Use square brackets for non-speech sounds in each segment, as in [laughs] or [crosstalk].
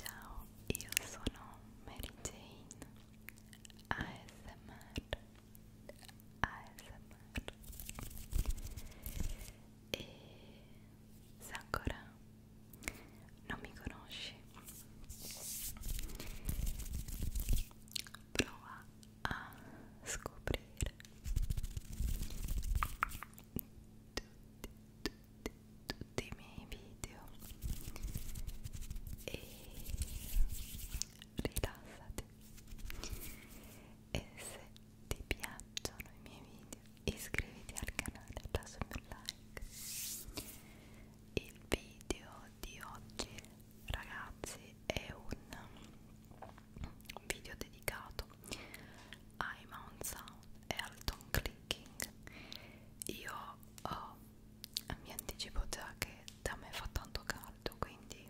Ciao, io sono Mary Jane ASMR ASMR e se ancora non mi conosci prova a scoprire tutti, tutti, di tutti i miei video e rilassati e se ti piacciono i miei video iscriviti al canale lasciami un like il video di oggi ragazzi è un video dedicato ai Mount Sound e al Tom Clicking io ho vi anticipo già che da me fa tanto caldo quindi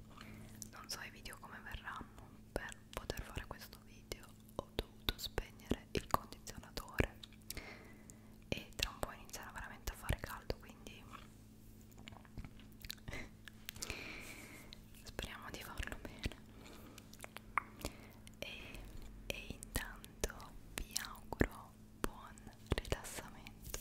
non so i video come verranno per poter fare questo video ho dovuto spegnere il condizionatore e tra un po' inizierà veramente a fare caldo quindi [laughs] speriamo di farlo bene e, e intanto vi auguro buon rilassamento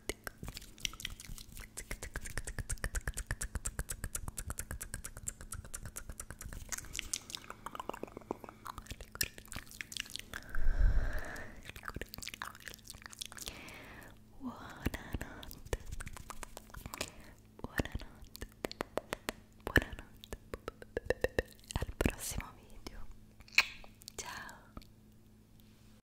Buonanotte. Buonanotte. Buonanotte. Al prossimo video. Ciao.